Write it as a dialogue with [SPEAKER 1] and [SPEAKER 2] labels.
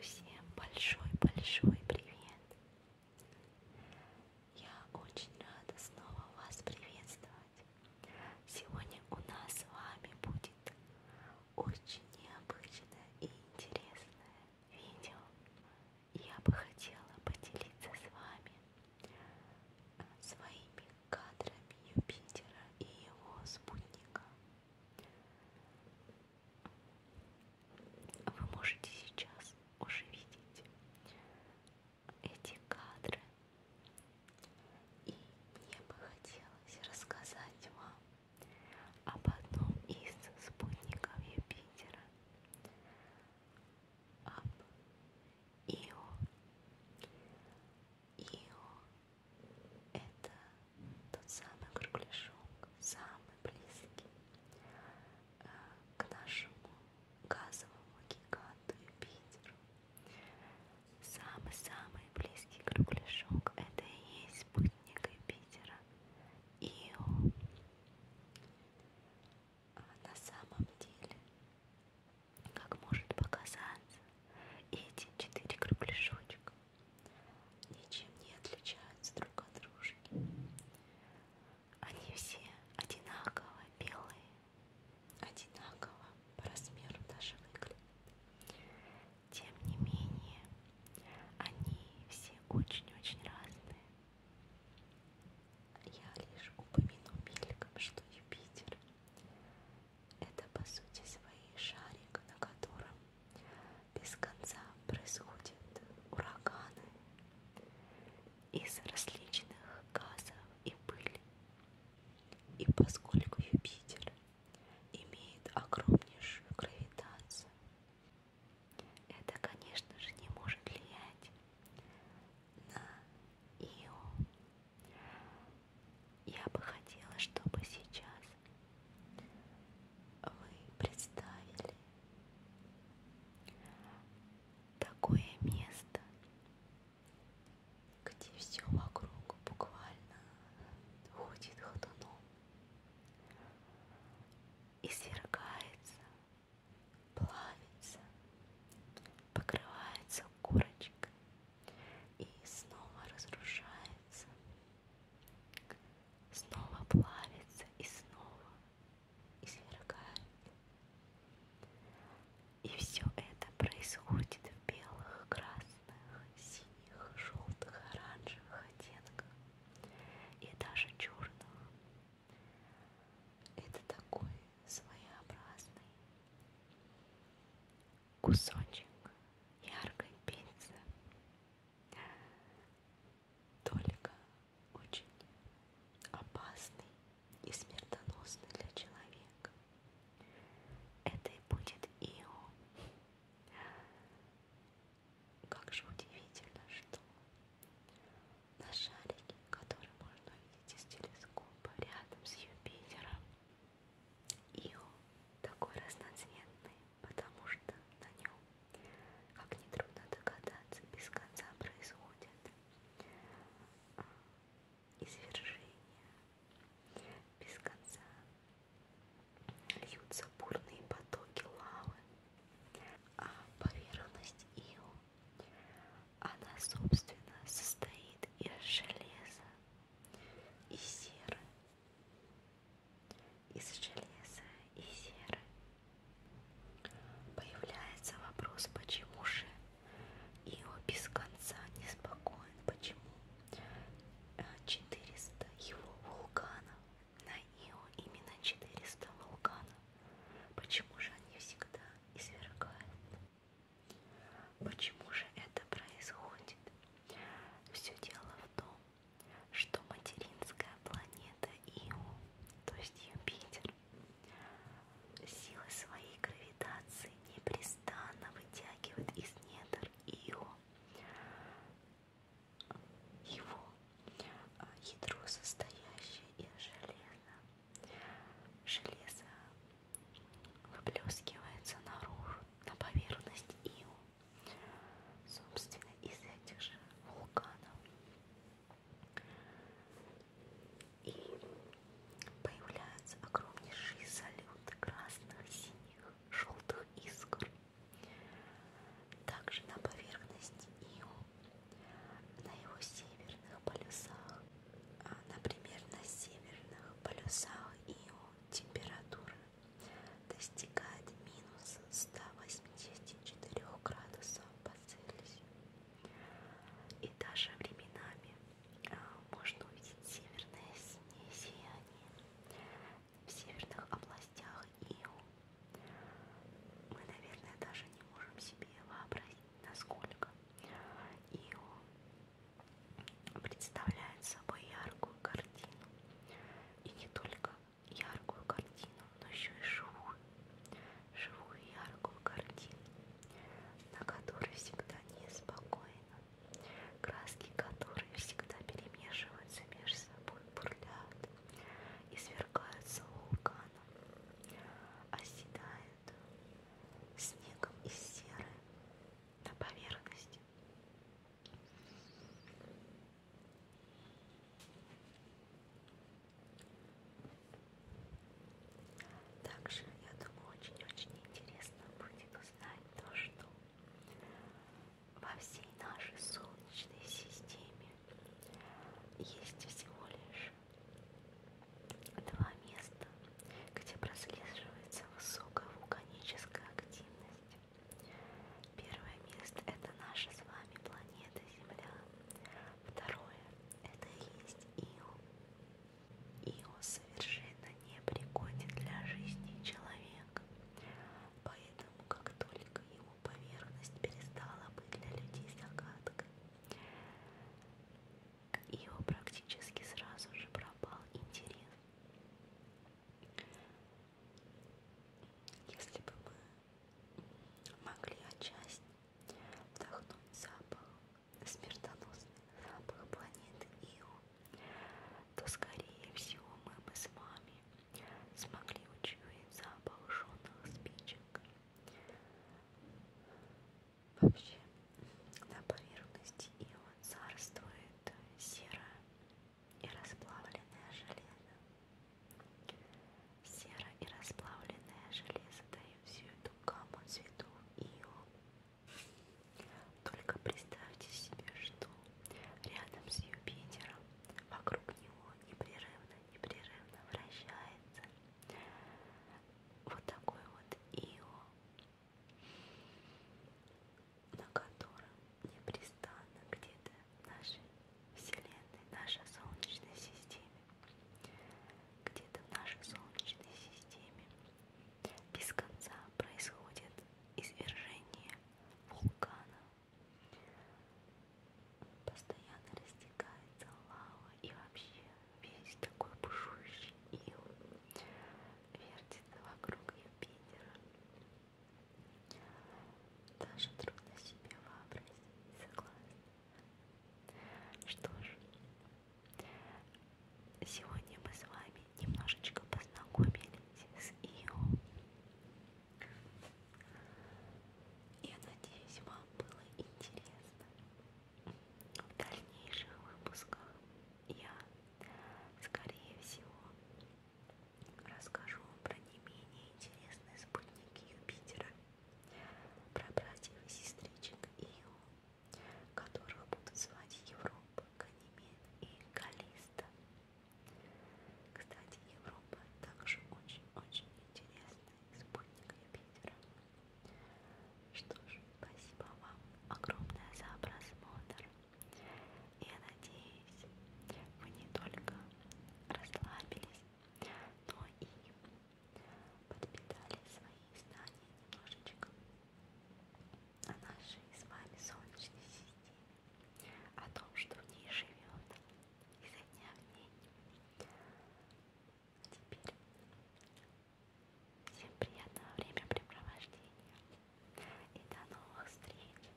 [SPEAKER 1] Всем большой-большой привет! Я очень рада снова вас приветствовать. Сегодня у нас с вами будет очень необычное и интересное видео. Я бы хотела поделиться с вами э, своими кадрами Юпитера и его спутника. Вы можете сейчас уже видеть эти кадры. И мне бы хотелось рассказать вам об одном из спутников Юпитера, об Ио. Ио это тот самый кругляшок, самый близкий э, к нашему газовому гиганту Юпитеру. Самый-самый близкий кругляшок это и есть спутник Юпитера Ио. А на самом деле, как может показаться, эти четыре кругляшочка ничем не отличаются друг от дружки. Они все одинаково белые, одинаково по размеру даже выглядят. Тем не менее, они все очень-очень разные. Я лишь упомяну мельком, что Юпитер это по сути своей шарик, на котором без конца происходят ураганы из различных газов и пыли. И поскольку Юпитер имеет огромнейшую гравитацию, это, конечно же, не может влиять на Ио. Я бы хотела, чтобы сейчас вы представили такое место, где все вокруг буквально ходит ходуном и свергается, плавится, покрывается корочкой и снова разрушается снова плавится и снова извергает. И все это происходит в белых, красных, синих, желтых, оранжевых оттенках и даже черных. Это такой своеобразный кусочек яркой пиццы только очень опасный и смертоносный для человека. Это и будет Ио. Как же удивительно, что на шарике, который можно увидеть из телескопа рядом с Юпитером, Ио такой разноцветный потому что на нем, как нетрудно догадаться, без конца происходят а, извержения, без конца льются бурные потоки лавы, а поверхность Ио, она, собственно, состоит из железа и серы из железа и серы. Появляется вопрос, почему же Ио без конца неспокоен, почему 400 э, его вулканов, на Ио именно 400 вулканов, почему же они всегда извергают? Почему же это происходит? Все дело в том, что материнская планета Ио, то есть Юпитер, силы своей гравитации непрестанно вытягивает из недр Ио его а, ядро, состоящее из железа. Железо выплескивается наружу, на поверхность Ио собственно, из этих же вулканов. И появляются огромнейшие салюты красных, синих, желтых искр. Также на поверхности Ио, на его северных полюсах, а, например, на северных полюсах Ио температура достигает минус 184 градусов по Цельсию. И даже временами а, можно увидеть северное синее сияние в северных областях Ио. Мы, наверное, даже не можем себе вообразить, насколько Ио представляет собой яркую картину. И не только яркую картину, но еще и живую, живую яркую картину, на которой всегда неспокойно, краски которые всегда перемешиваются между собой, бурлят и сверкаются вулканом, оседают снегом и серы на поверхности. Также, я думаю, очень-очень интересно будет узнать то, что во всей нашей Солнечной системе есть всего лишь два места, где прослеживается высокая вулканическая активность. Первое место – это наша с вами планета Земля. Второе – это и есть Ио. Ио совершенно не пригоден для жизни человека. Поэтому, как только его поверхность перестала быть для людей загадкой, к Ио практически сразу же пропал интерес. Если бы мы могли отчасти вдохнуть запах, смертоносный запах планеты Ио, то, скорее всего, мы бы с вами смогли учуять запах жженых спичек. Вообще, на поверхности Ио царствует серая и расплавленное железо. Сера и расплавленное железо дают всю эту гамму цветов ио. Только представьте себе, что рядом с Юпитером вокруг него непрерывно, непрерывно вращается вот такой вот ио, на котором непрестанно где-то в нашей Вселенной, в нашей Солнечной системе, где-то в нашей Солнечной системе без конца происходит извержение вулкана. Постоянно растекается лава и вообще весь такой бушующий ил вертится вокруг Юпитера. Даже трудно себе вообразить, согласна. Что ж, сегодня мы с вами немножечко познакомились с Ио. Я надеюсь, вам было интересно. В дальнейших выпусках я, скорее всего, Расскажу про не менее интересные спутники Юпитера, про братьев и сестричек Ио, которых будут звать Европа, Ганимед и Калиста. Кстати, Европа также очень-очень интересный спутник Юпитера. Что ж, спасибо вам огромное за просмотр. Я надеюсь, вы не только расслабились, но и подпитали свои знания немножечко о нашей с вами Солнечной системе, о том, что в ней живет изо дня в день. А теперь всем приятного времяпрепровождения и до новых встреч!